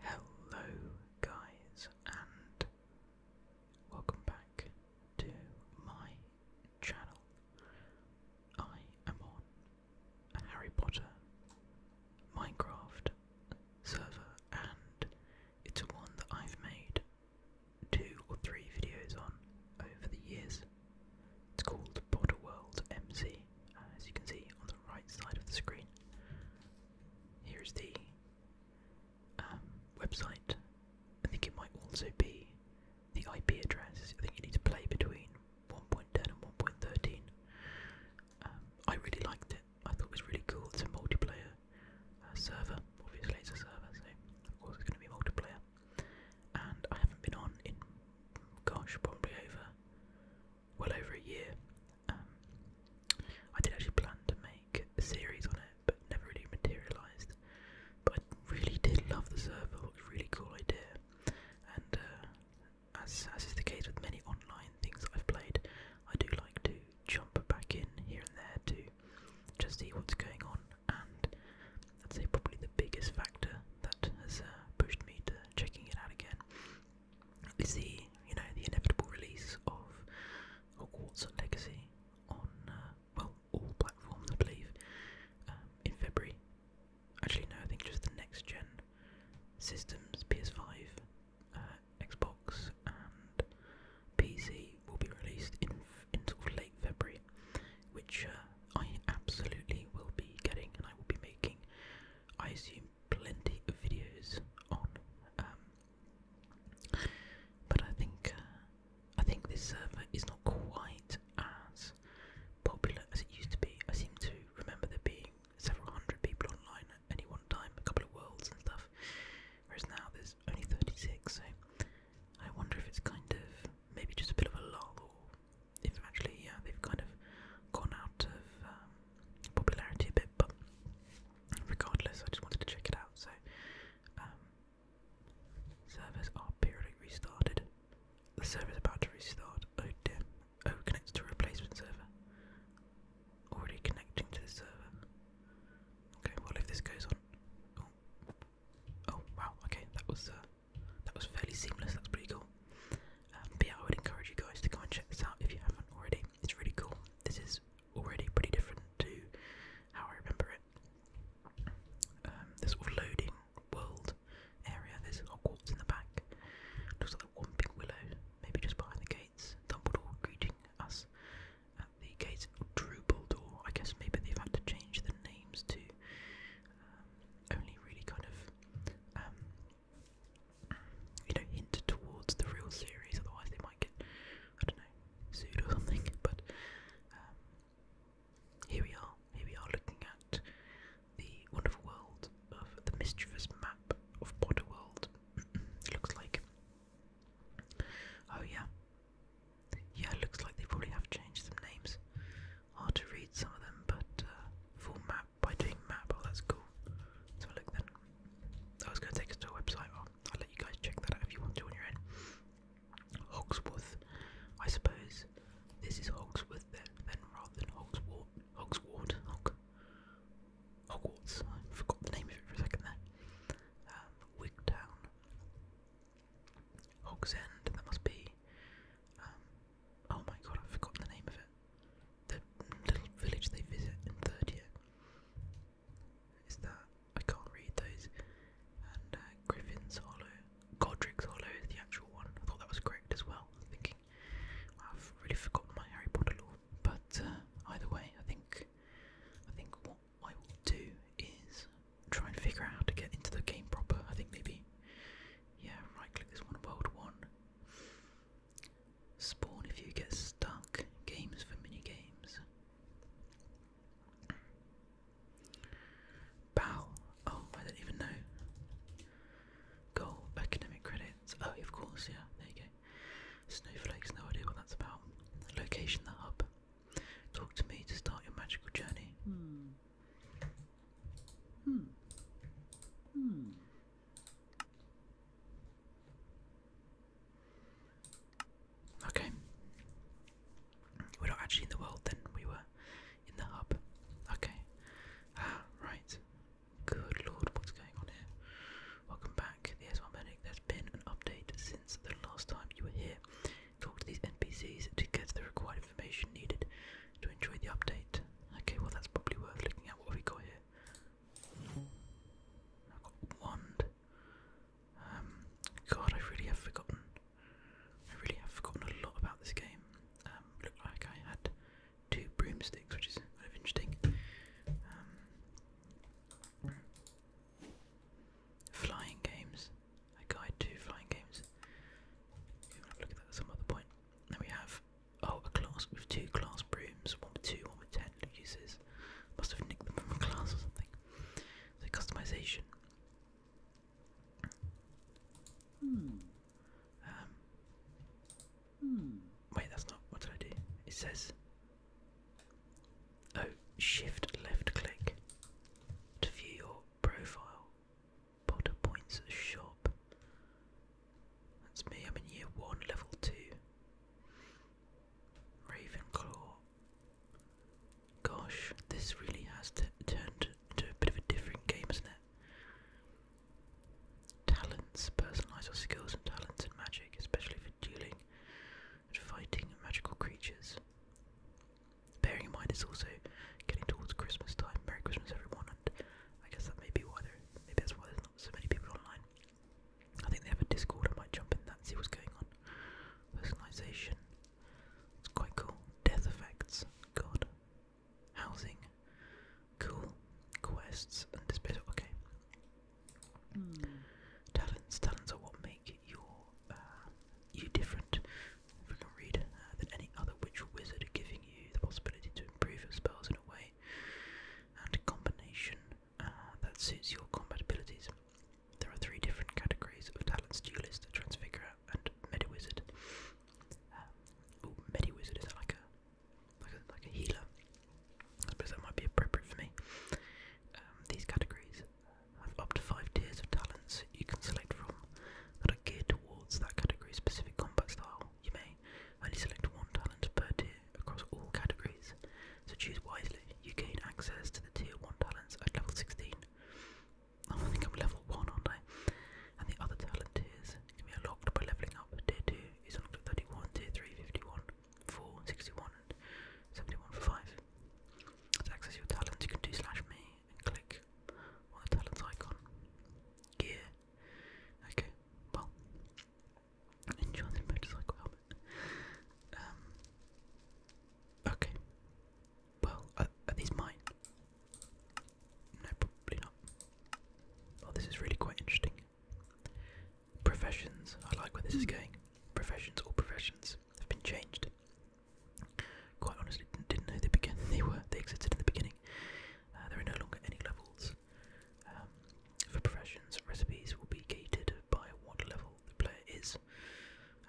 Hello, guys, and welcome back to my channel. I am on a Harry Potter Minecraft server, and it's one that I've made two or three videos on over the years. It's called Potter World MC. Uh, as you can see on the right side of the screen. Here is the um, website. I think it might also be the IP address. I think you need to play between 1.10 and 1.13. Um, I really liked it. I thought it was really cool. It's a multiplayer uh, server. Obviously, it's a server, so of course it's going to be multiplayer. And I haven't been on in, gosh, probably over well over a year. Um, I did actually plan to make a series on it, but never really materialised. But I really did love the server, it was really cool idea. And uh, as, as is the case with many online things I've played, I do like to jump back in here and there to just see what's going on. And I'd say probably the biggest factor that has uh, pushed me to checking it out again is the you know the inevitable release of Hogwarts Legacy on uh, well all platforms I believe um, in February. Actually no, I think just the next gen systems PS5, uh, Xbox and PC will be released in in late February, which uh, I absolutely will be getting and I will be making I assume plenty of videos on. Um, but I think uh, I think this server is not quite as popular as it used to be. I seem to remember there being several hundred people online at any one time, a couple of worlds and stuff. Whereas now there's only 36, so I wonder if it's kind of maybe just a bit of a lull, or if actually yeah they've kind of gone out of um, popularity a bit, but regardless, I just wanted to check it out. So, um, servers are periodically restarted. The server is about to restart. Oh dear. Oh, connects to a replacement server. Already connecting to the server. Okay, well if this goes on. Oh, oh wow. Okay, that was uh, that was fairly seamless. That's pretty cool. Um, but I would encourage you guys to go and check this out if you haven't already. It's really cool. This is already pretty different to how I remember it. Um, this loading world area. There's Hogwarts in the back. Looks like that one willow, maybe just behind the gates. Dumbledore greeting us at the gates. Drubeldor. I guess maybe they've had to change the names to um, only really kind of um, you know, hint towards the real series, otherwise they might get, I don't know, sued or something. But um, here we are, here we are looking at the wonderful world of the mischievous map of Potterworld. it looks like, oh yeah, yeah, it looks like they probably have changed some names. Hard to read some of them, but uh, full map by doing map. Oh, that's cool. So look then. I was going to take us to a website. Oh, I'll let you guys check that out if you want to on your own. Hogsworth, I suppose. This is Hogsworth then, then rather than Hogswort, Hogsward, Hogs. Hogwarts. I forgot the name of it for a second there. Um, Wigtown, Hogsend. That must be. Um, Oh my god, i forgot the name of it. The little village they visit in third year. Is that I can't read those. And uh, Griffin's Hollow, Godric's Hollow is the actual one. I thought that was correct as well. i thinking I've really forgotten my Harry Potter lore, but uh, either way, I think I think what I will do is try and figure out how to get into the game proper. I think maybe yeah, right click this one, world one. Spawn if you get stuck. Games for mini games. Bow. Oh, I don't even know. Goal. Academic credits. Oh, of course, yeah. There you go. Snowflakes. No idea what that's about. Location. The hub. Talk to me to start your magical journey. Hmm. Hmm. Hmm. Okay. We're not actually in the world then, we were in the hub. Okay. Ah, right. Good lord, what's going on here? Welcome back. The S1 Medic. There's been an update since the last time you were here. Talk to these NPCs to get the required information needed to enjoy the update. Okay, well that's probably worth looking at what we got here. I've got blonde. Um, God, I really have forgotten. I really have forgotten a lot about this game. Um, looked like I had two broomsticks, which is kind of interesting. Um, flying games. A guide to flying games. look at that some other point. Then we have Oh, a class with two class brooms, one with two, one with ten uses. Must have nicked them from a class or something. So customization. Hmm. Um. Hmm. Wait, that's not. What did I do? It says. Oh, shift left click to view your profile. Potter points shop. That's me, I'm in year one, level two. Ravenclaw. Gosh, this really has turned into a bit of a different game, isn't it? Talents, personalise your skills and talents in magic, especially for dealing fighting magical creatures. Bearing in mind it's also getting towards Christmas time. Merry Christmas everyone and I guess that may be why there maybe that's why there's so many people online. I think they have a Discord. I might jump in that and see what's going on. Personalization. It's quite cool. Death effects. God. Housing. Cool. Quests and disposal. Okay. Hmm. Talents. Talents are what make your uh, you different. If I can read uh, than any other witch or wizard, giving you the possibility to improve your spells in a way and a combination uh, that suits your combat abilities. There are three different categories of talents: duelist, transfigurer, and mediwizard. Um, ooh, mediwizard is that like a like a healer? I suppose that might be appropriate for me. Um, these categories have up to five tiers of talents you can select from that are geared towards that category specific combat style. You may only select one talent per tier across all categories, so choose wisely. You gain access to the tier 1 talents at level 16. I think I'm level 1, aren't I? And the other talent tiers can be unlocked by leveling up. Tier 2 is unlocked at 31, tier 3, 51, 61, and 71 for 5. To access your talents, you can do slash me and click on the talents icon. Gear Okay, well, enjoy the motorcycle helmet. Um, okay, well, uh, are, these mine? No, probably not. Oh, this is really quite interesting. Professions, I like where this is hmm. going. Professions, all professions have been changed. Quite honestly, didn't, know they began. They were they existed in the beginning. Uh, there are no longer any levels. Um, for professions, recipes will be gated by what level the player is.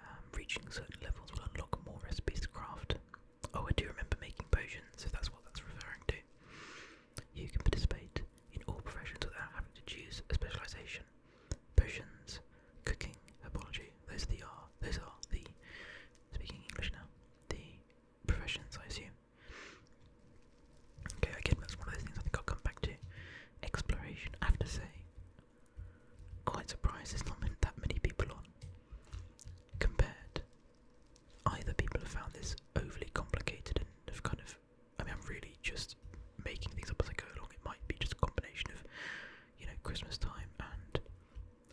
Um, reaching certain levels will unlock more recipes to craft. Oh, I do remember making potions, if that's what that's referring to. You can participate in all professions without having to choose a specialization. Potions, cooking, Apology. those are the those are the speaking English now. The professions I assume. Okay, again, that's one of those things I think I'll come back to. Exploration, I have to say, quite surprised there's not that many people on. Compared, either people have found this overly complicated and have kind of, I mean, I'm really just making things up as I go along. It might be just a combination of, you know, Christmas time and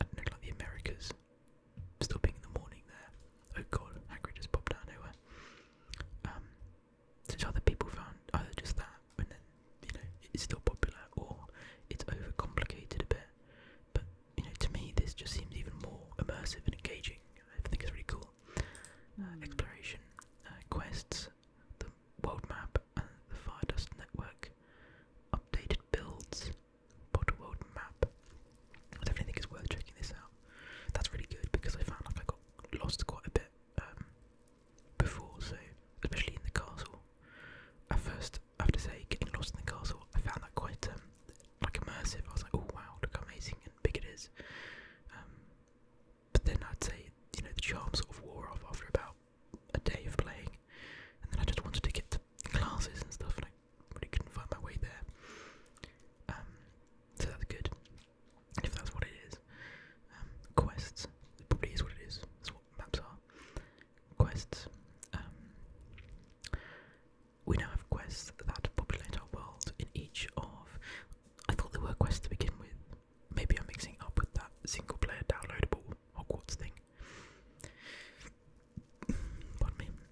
I don't know, like the Americas Still being in the morning there. Oh god, Hagrid just popped out nowhere. Um, since other people found either just that, and then, you know, it's still popular, or it's overcomplicated a bit. But, you know, to me this just seems even more immersive and engaging. I think it's really cool. Uh, hmm. exploration, uh, quests, the world map, and the Firedust network, updated builds, Potter World map. I definitely think it's worth checking this out. That's really good because I found like I got lost quite a bit um, before, so especially in the castle. At first, I have to say, getting lost in the castle, I found that quite um, like immersive. I was like, oh wow, look how amazing and big it is. Um, but then I'd say, you know, the charm sort of wore off after about a day of playing, and then I just wanted to get to classes and stuff, like. I really couldn't find my way there. Um, so that's good, if that's what it is. Um, quests, it probably is what it is, that's what maps are. Quests, um, we now have quests that populate our world in each of, I thought there were quests to begin with, maybe I'm mixing up with that single player downloadable Hogwarts thing.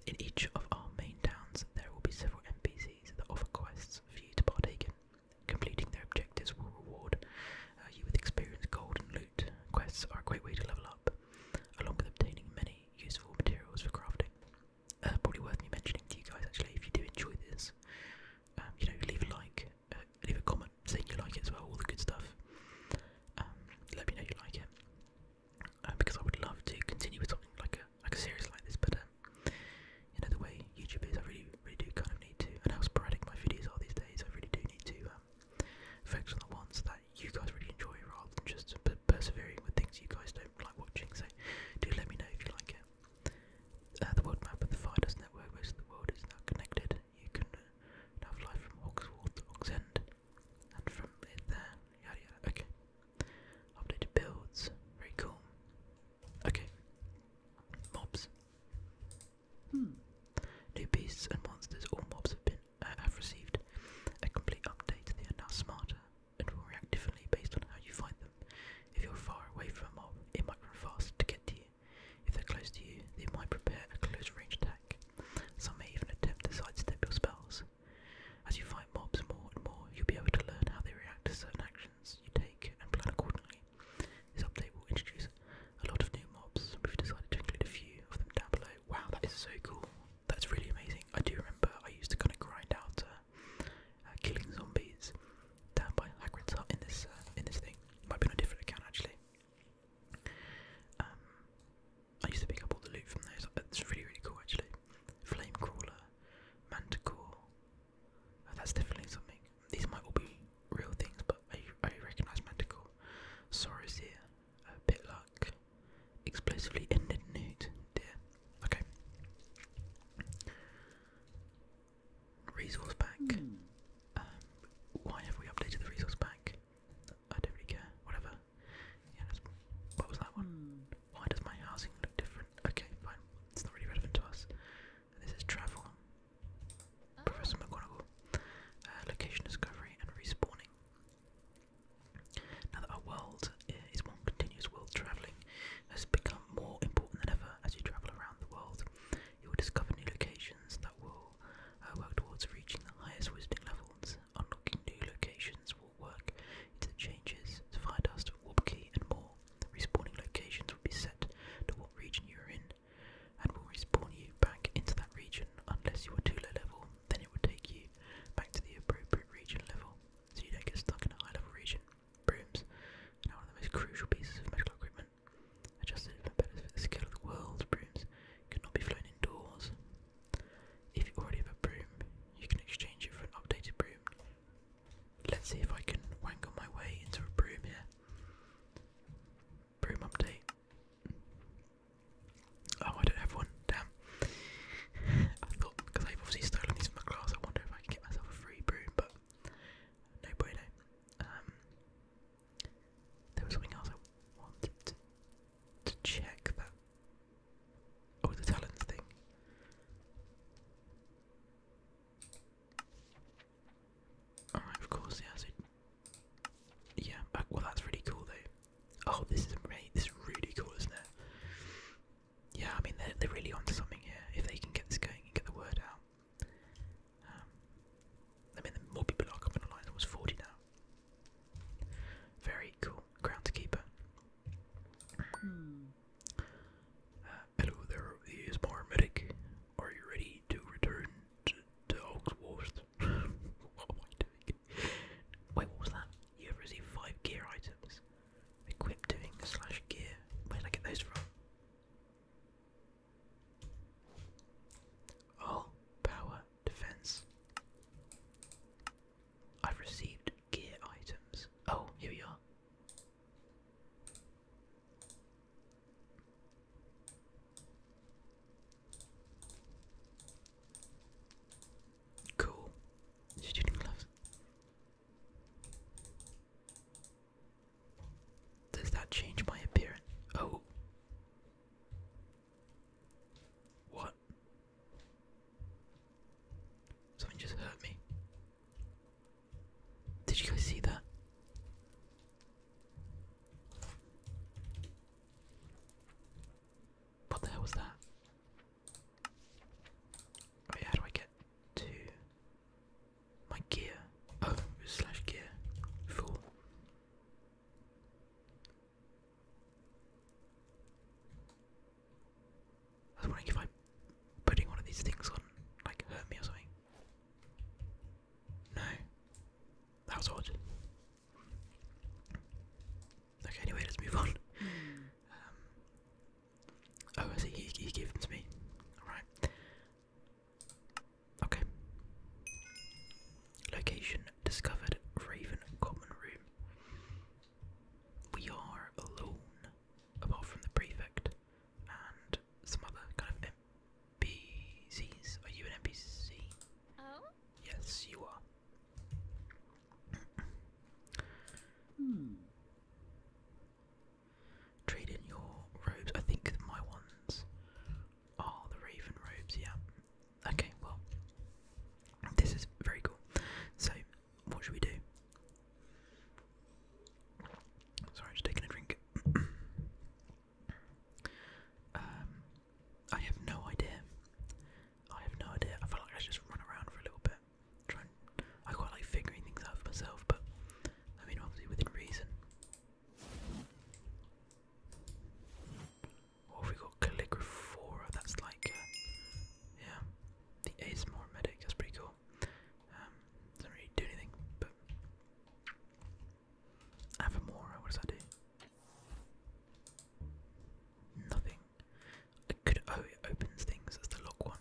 In each of our main towns, there will be several NPCs that offer quests for you to partake in. Completing their objectives will reward uh, you with experience, gold, and loot. Quests are a great way to level up, along with obtaining many useful materials for crafting. Uh, probably worth me mentioning to you guys, actually, if you do enjoy this, um, you know, leave a like, uh, leave a comment saying you like it as well, all the good stuff. Um, let me know you like it. Um, because I would love to continue with something like a like a series like this. But um, you know the way YouTube is, I really really do kind of need to, and how sporadic my videos are these days. I really do need to um, focus on the ones that you guys really enjoy, rather than just persevering with things you guys don't like watching. So do let me know if you like it. Uh, the world map of the Fidus network, most of the world is now connected. You can uh, have from Hawkswall to Hawksend, and from there, yada yada. Okay. Updated builds. Very cool. Okay. Mobs. Hmm. New beasts and monsters All mobs have been uh, have received a complete update. They are now smarter and will react differently based on how you find them. If you're far away from a mob, it might run fast to get to you. If they're close to you, they might prepare a close range attack. Some may even attempt to sidestep your spells. As you fight mobs more and more, you'll be able to learn how they react to certain actions you take and plan accordingly. This update will introduce a lot of new mobs. We've decided to include a few of them down below. Wow, that is so cool. That's really amazing. I do remember I used to kind of grind out uh, uh, killing zombies down by Hagrid's hut in this uh, in this thing. Might be on a different account actually. Um, I used to pick up all the loot from those. It's really, really cool actually. Flamecrawler, Manticore. Oh, that's definitely something. These might all be real things, but I, I recognise Manticore. Sorrows here, a bit luck, explosively ended nude. Dear. Okay. Resource pack. Hmm. Um, why have we updated the resource pack? I don't really care. Whatever. Yeah, what was that one? Why does my housing look different? Okay, fine. It's not really relevant to us. This is travel. Professor McGonagall. Uh, location discovery and respawning. Now that our world is one continuous world, travelling has become more important than ever as you travel around the world. You will discover new locations that will uh, work towards reaching the highest wizarding levels. Unlocking new locations work into changes to find us warp key and more. Respawning locations will be set to what region you are in and will respawn you back into that region unless you are too low level, then it will take you back to the appropriate region level so you don't get stuck in a high level region. Brooms are now one of the most crucial pieces of medical equipment. Adjusted for better for the scale of the world, brooms could not be flown indoors if you already have a broom, you can exchange it for an updated broom. Let's see if I can wangle my way into a broom here. Broom update. Oh, I don't have one. Damn. I thought, because I've obviously stolen these from the class, I wonder if I can get myself a free broom, but no bueno. Um, there was something else I wanted to, check that Oh, the talents thing. Alright, of course, yeah, so yeah, uh, well that's really cool though. Oh, this is amazing. This is really cool, isn't it? Yeah, I mean they're they're really onto something here. If they can get this going and get the word out, um, I mean more people are coming online. It forty now. Very cool groundskeeper. Uh, hello there, is paramedic. Are you ready to return to, to what am I doing? Wait, what was that? You have received five gear items. Equip doing slash gear. Where did I get those from? Oh, power, defense. I've received gear items. Oh, here we are. Cool. Shooting gloves. Does that change my appearance? Oh. What? Something just hurt me. Did you guys see that? What the hell was that? Oh how do I get to my gear? Oh, slash gear. Fool. I was wondering if I putting one of these things on like hurt me or something. No. That was odd. Okay, anyway, let's move on. Um, oh, I see, he, gave them to me. Alright. Okay. Location discovered Raven Common Room. We are alone, apart from the prefect and some other kind of NPCs. Are you an NPC? Oh? Yes, you are. hmm. your robes. I think my ones are the Raven robes, yeah. Okay, well, this is very cool. So, what should we do? Sorry, just taking a drink. um, I have no idea. I have no idea. I feel like I should just run around for a little bit. Try I quite like figuring things out for myself, but I mean, obviously within reason. What have we got? Calligraphora, that's like, uh, yeah, the ASMR medic, that's pretty cool. Um, doesn't really do anything, but. Avamora, what does that do? Nothing. I could, oh, it opens things, that's the lock one.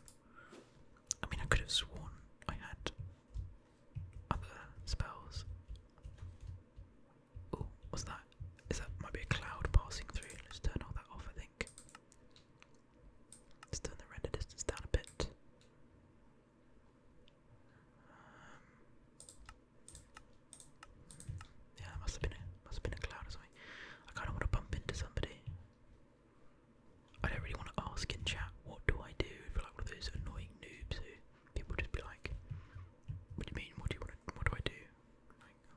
I mean, I could have sworn I had other spells. Oh, what's that? Is that might be a cloud passing through? Let's turn all that off, I think. Let's turn the render distance down a bit. Um, yeah, must have been a must have been a cloud or I kind of want to bump into somebody. I don't really want to ask in chat. What do I do? If like one of those annoying noobs who people just be like, "What do you mean? What do you want what do I do?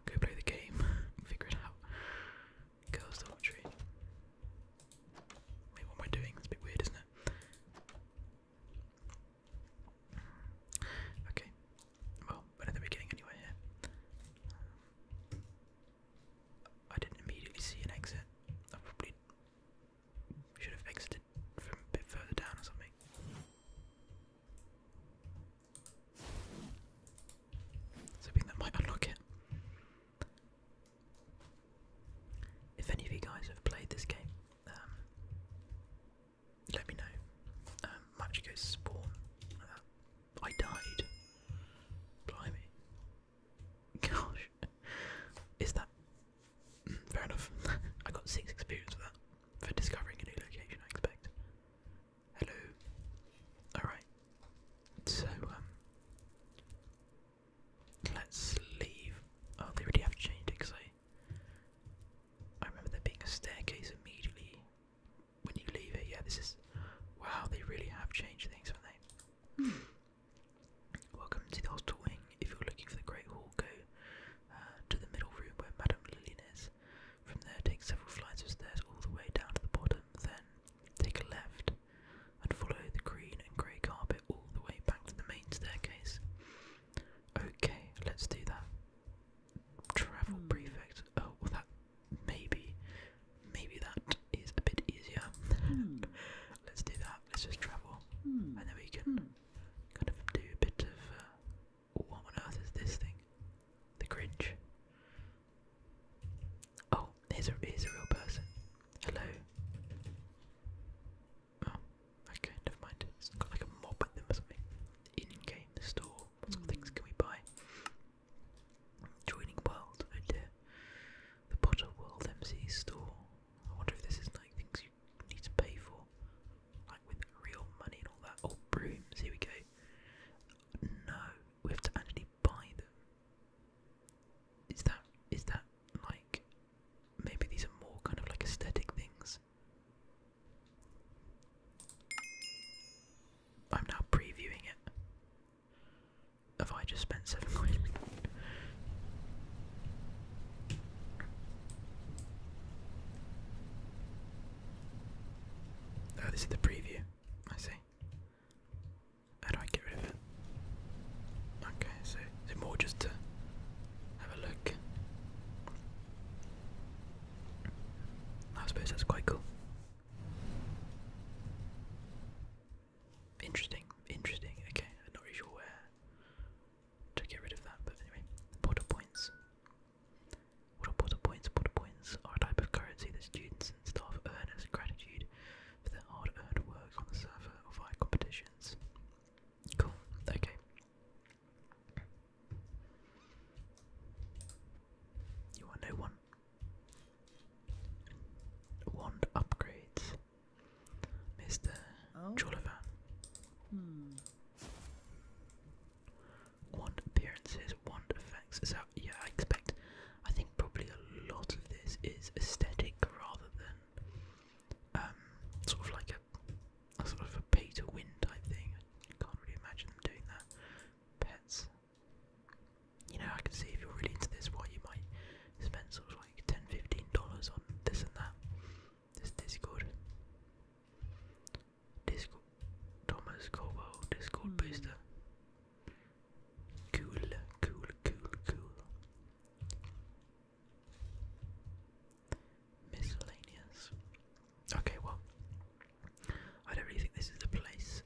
go play the game, figure it out. Girls' dormitory. Wait, what am I doing? It's a bit weird, isn't it? Okay. Well, I don't think we're um, I didn't immediately see an exit. I probably should have exited from a bit further down or something. So I that might unlock it. If any of you guys have played this game, um, let me know. Um, spawn. Uh, I died. Blimey. Gosh. Is that. Mm, fair enough. I got six experience For discovering a new location, I expect. Hello. Alright. So, um. Let's leave. Oh, they really have changed it because I. I remember there being a staircase immediately when you leave it. Yeah, this is. Wow, they really have changed things, haven't they? Hmm. Welcome to the hostel wing. If you're looking for the Great Hall, go to the middle room where Madame Lillian is. From there, take several flights of stairs all the way down to the bottom, then take a left and follow the green and grey carpet all the way back to the main staircase. Okay, let's do that. Travel hmm. prefect. Oh, well, that maybe, maybe that is a bit easier. Mm. let's do that. Let's just travel, hmm. and then we can hmm. kind of do a bit of uh, what on earth is this thing? The Grinch. Oh, here's a, here's a real person. Hello. Oh, okay, never mind. It's got like a mob at them or something. In game store. What sort of things can we buy? Joining world. Oh dear. The Potter World MC store. I wonder if this is like things you need to pay for like with real money and all that. Oh, brooms, here we go. No, we have to actually buy them. Is that, is that like, maybe these are more kind of like aesthetic things? I'm now previewing it. Have I just spent seven quid? Oh, this is the preview. I see. How do I get rid of it? Okay, so is it more just have a look? I suppose that's quite cool. Interesting, interesting. Okay, I'm not really sure where to get rid of that, but anyway, border points. Water points, water points are a type of currency that students and staff earn as gratitude for their hard-earned work on the server or via competitions. Cool. Okay. You want no one? Wand upgrades, Mister oh one appearances, one effects. So yeah, I expect. I think probably a lot of this is aesthetic rather than um, sort of like a, sort of a pay to win type thing. I can't really imagine them doing that. Pets. You know, I can see if you're really into this, why you might spend sort of like $10, $15 on this and that. This Discord. Disco Thomas Cobo, Discord mm. Cool, cool, cool, cool. Miscellaneous. Okay, well, I don't really think this is the place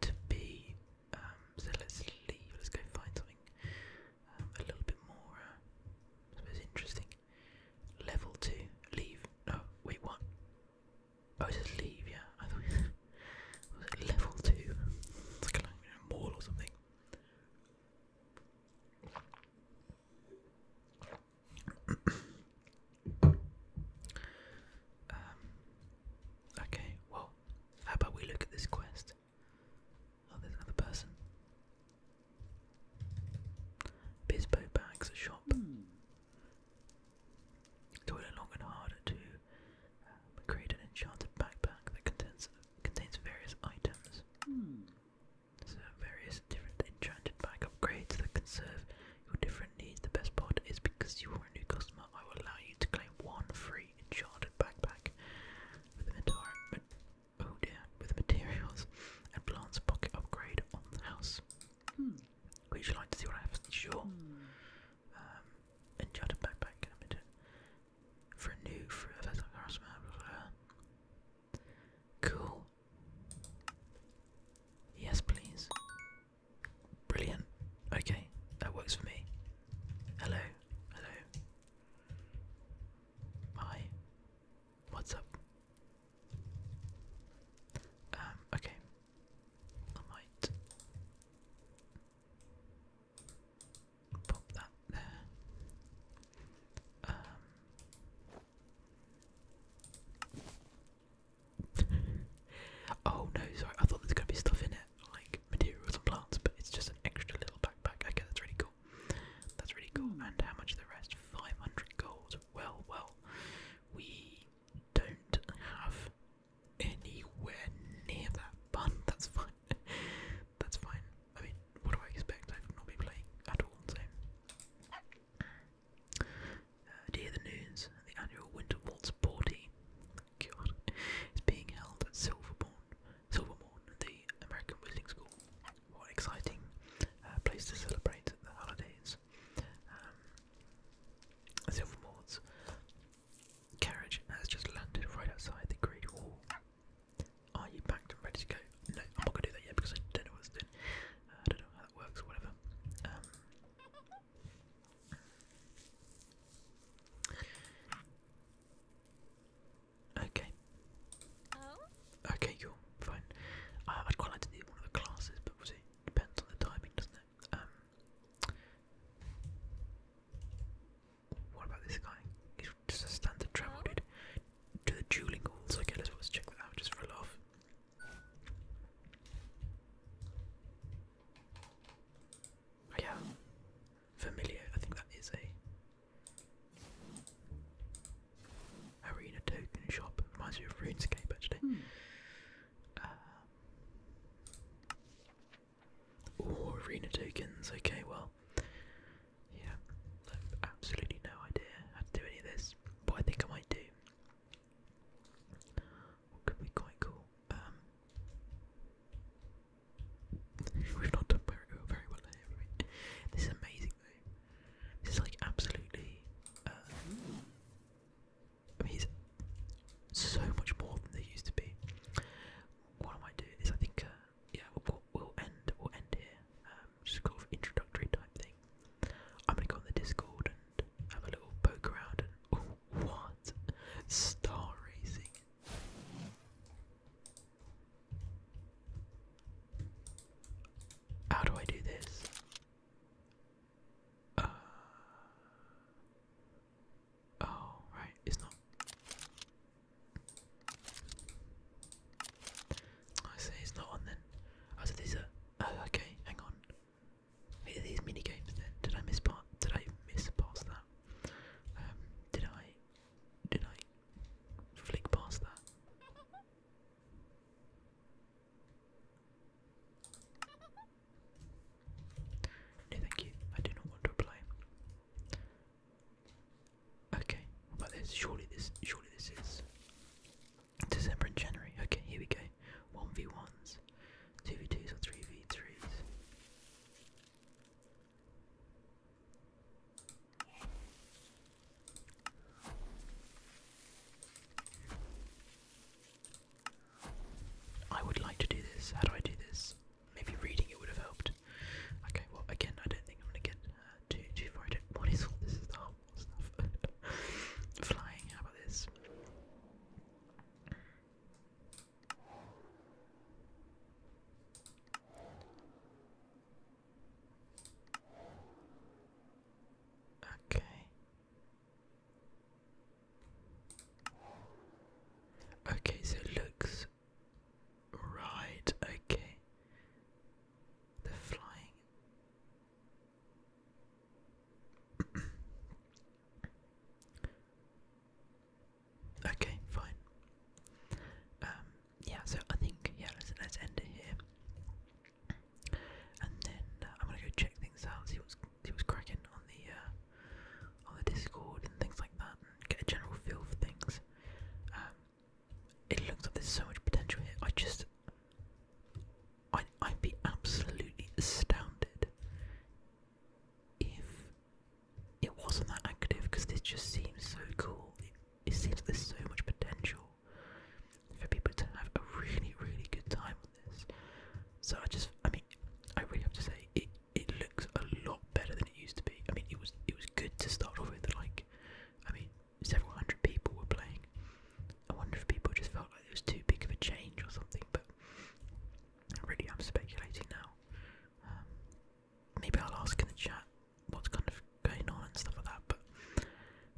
to be. Um, so let's leave. Let's go find something um, a little bit more, uh, I suppose, interesting. Level two, leave. No, wait, what? Oh, it says leave. Yeah, I thought it was level two. It's like a mall or something. um. Okay. Well, how about we look at this quest? Oh, there's another person. Bispo Bags Shop. Mm. Toil long and hard to um, create an enchanted backpack that contains contains various items. Hmm. So various different enchanted bag upgrades that can serve your different needs. The best part is because you are a new customer, I will allow you to claim one free enchanted backpack with the Oh dear, with the materials and plants pocket upgrade on the house. Hmm. Would you like to see what I have? Sure. Hmm. Um, enchanted backpack in a minute. For new, for a like blah, uh, Cool. Yes, please. Brilliant. Okay, that works for me. Hello. Hello. Hi. What's up? Um, okay. I might pop that there. Um, oh no, sorry, I thought there's gonna be stuff in it, like materials and plants, but it's just an extra little backpack. Okay, that's really cool. That's really cool. Hmm. And how much the rest? 500 gold well, well, we don't have anywhere near that bun. That's fine. That's fine. I mean, what do I expect? I've not be playing at all, so. Uh, dear the news, the annual Winter Waltz party is being held at Silverbourne, Silvermorn, the American Whistling School what exciting uh, place to celebrate the holidays. Um, carriage has just landed right outside the Great Wall. Are you packed and ready to go? No, I'm not gonna do that yet because I don't know what's doing. Uh, I don't know how that works or whatever. Um, okay. Oh. Okay, cool, fine. I'd quite like to do one of the classes, but we'll see. Depends on the timing, doesn't it? Um, what about this guy? He's just a standard travel dude. To the dueling halls. Okay, let let's check that out just for oh, a yeah, familiar. I think that is a. Arena Token Shop. Reminds me of RuneScape actually. Mm. Arena Tokens. Okay, well, yeah, I have absolutely no idea how to do any of this, but I think I might do. could be quite cool? Um, we've not done very, very well here. This is amazing though. This is like absolutely. I uh, mean, he's so much more than they used to be. What am I might do is, I think, uh, yeah, we'll, end, we'll end here. Um, just sort of introductory type thing. I'm gonna go on the Discord and have a little poke around. And oh, what star racing! How do I do this? Uh, oh, right, it's not. I say it's not on then. I oh, said these Oh, okay, hang on. these mini games then? Did I miss part? Did I miss past that? Um, did I? Did I flick past that? No, thank you. I do not want to apply. Okay, about this? Surely this, surely this is December and January. Okay, here we go. One v ones, two v twos, or three v threes. I would like to do this. How do I do this? Maybe reading it would have helped. Okay, well, again, I don't think I'm gonna get uh, too too far. What is all this? Is the harmful stuff? Flying. How about this? Okay. Okay, so it looks right, okay. they flying. okay, fine. Um, yeah, so I think yeah, let's let's end it here, and then uh, I'm gonna go check things out, see what's see what's cracking on the uh, on the Discord and things like that, and get a general feel for things. Um, it looks like there's so much potential here. I just, I I'd be absolutely astounded if it wasn't that active because this just seems so cool. It, seems like there's so much potential for people to have a really, really good time on this. So I just, I mean, I really have to say it. It looks a lot better than it used to be. I mean, it was it was good to start off with. Like, I mean, several hundred people were playing. I wonder if people just felt like it was too big of a change or something. But really, I'm speculating now. Um, maybe I'll ask in the chat what's kind of going on and stuff like that. But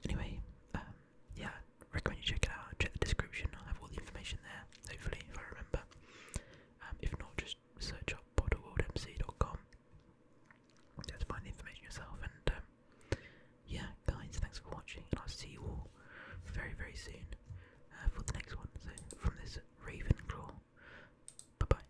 anyway, um, yeah, recommend you check it out. Check the description. I have all the information there. Hopefully, if I remember. Um, if not, just search up bottleworldmc.com. Just find the information yourself. And um, yeah, guys, thanks for watching, I'll see you all very, very soon uh, for the next one. from this Ravenclaw, bye bye.